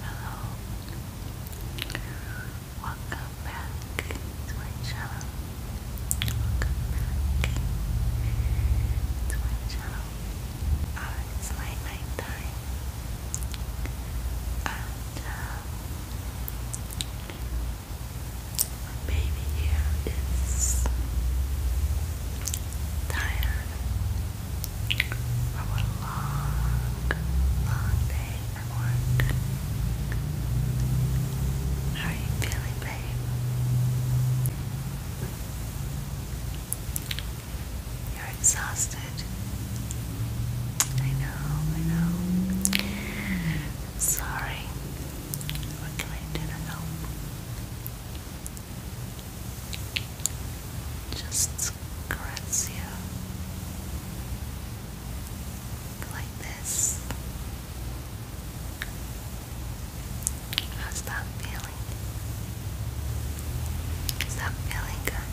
Hello, welcome back to my channel. Welcome back to my channel. Uh, it's like night time, and my baby here is tired. From a long, long day at work. How are you feeling, babe? You're exhausted. I know, I know. sorry. What can I do to just caress you like this. How's that feeling? Is that feeling good?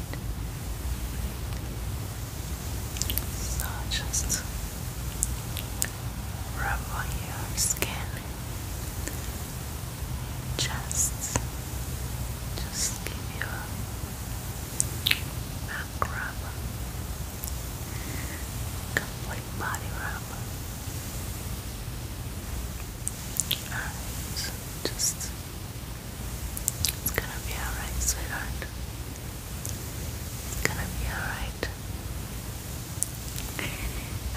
So just rub on your skin just just give you a back rub complete body rub alright just it's gonna be alright sweetheart it's gonna be alright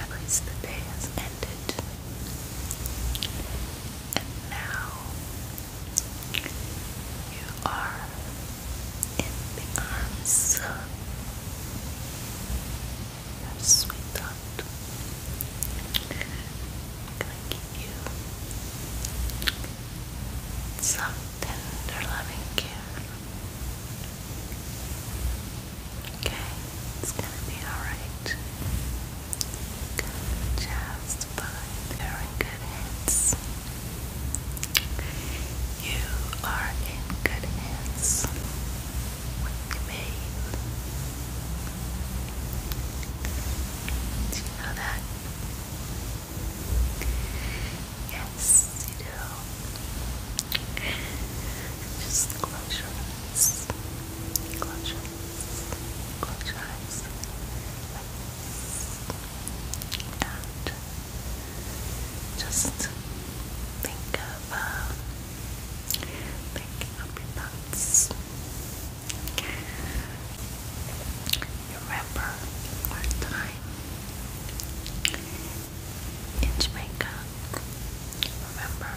at least the day has ended and now you are in the arms of your sweetheart. I'm gonna give you some tender loving care. Okay, it's gonna be alright. Just fine. You're in good hands. You are in good hands with me. Do you know that? Yes, you do. Just close your eyes. Close your eyes. Close your eyes. And just think of um, thinking thoughts. Remember our time in Jamaica. Remember,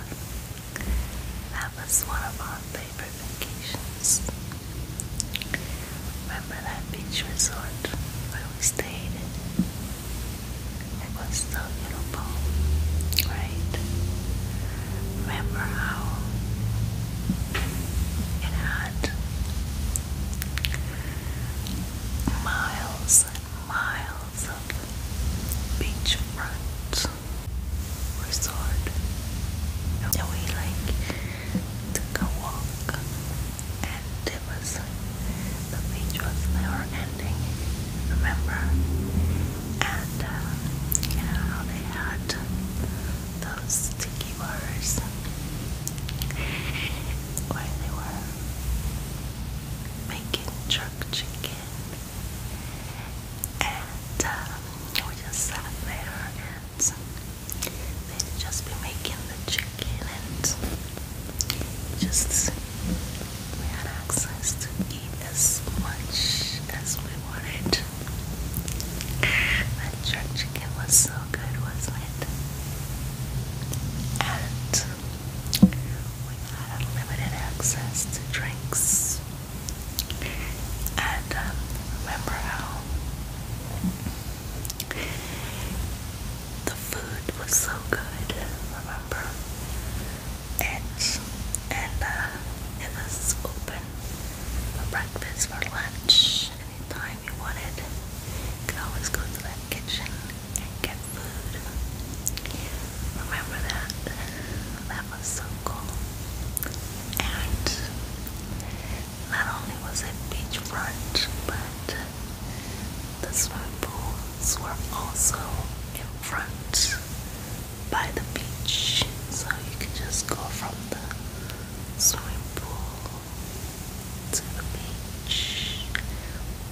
that was one of our favorite vacations. Remember that beach resort where we stayed It was so beautiful, right? Remember how it had miles and miles miles beachfront resort and we like took a walk and it was the beach was never ending remember and uh, you know they had those sticky bars where they were making jerk chicken. And um, we just sat there and they just be making the chicken and just we had access to eat as much as we wanted. That jerk chicken was so good, wasn't it? and we had unlimited access to drinks. And um, remember how the food was so good, remember? And, and uh, it was open for breakfast, for lunch, Anytime you want it, always go to that kitchen and get food. Remember that? That was so cool. And not only was it beachfront, but the swimming pools were also in front by the beach. So you could just go from the swimming pool to the beach,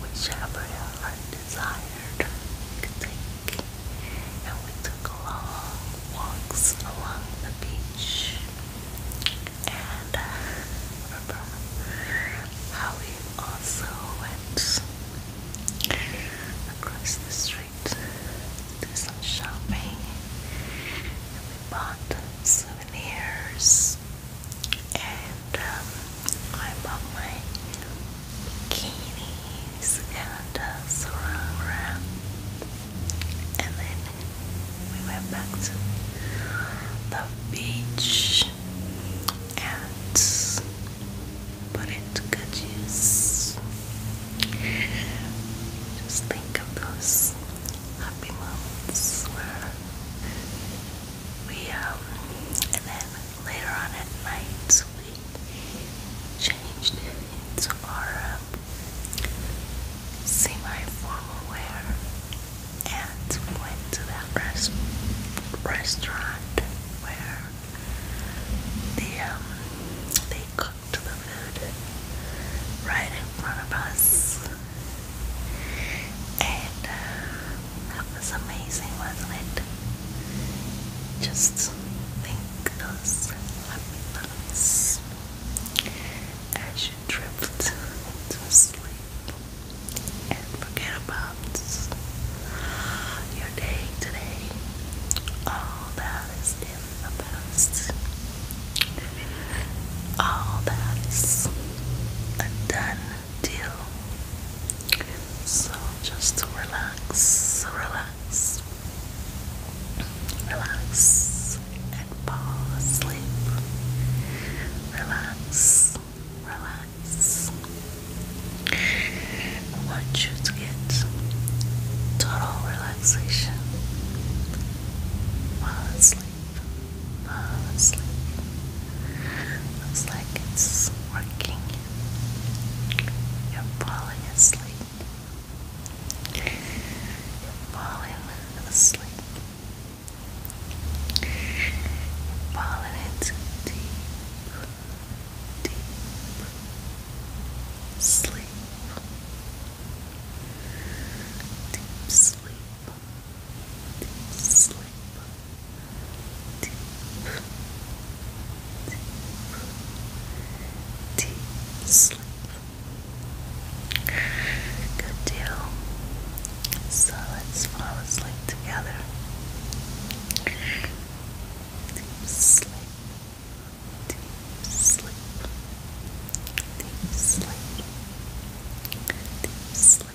whichever our desired could take. And we took long walks along the beach. And uh, remember how we also went across the street to some shopping. And we bought some souvenirs and um, I bought my bikinis and uh, and then we went back to the beach and put it to good use just think of those happy moments where we, um, and then later on at night we changed into our um, semi-formal wear and went to that rest restaurant where the, they um, cooked the food right in front of us. And uh, that was amazing, Just think those happy thoughts as drift to sleep and forget about your day today. All that is the best. All that is a done deal. So just relax, relax, relax, and fall asleep. Relax, relax. I want you to get total relaxation relaxation. Fall asleep. Fall asleep. Looks like it's working. You're falling asleep. You're falling asleep. falling into deep, deep Sleep, Deep sleep. sleep. Deep. Deep. Deep sleep. Good deal. So let's fall asleep together. Deep sleep deep sleep, deep sleep, deep sleep.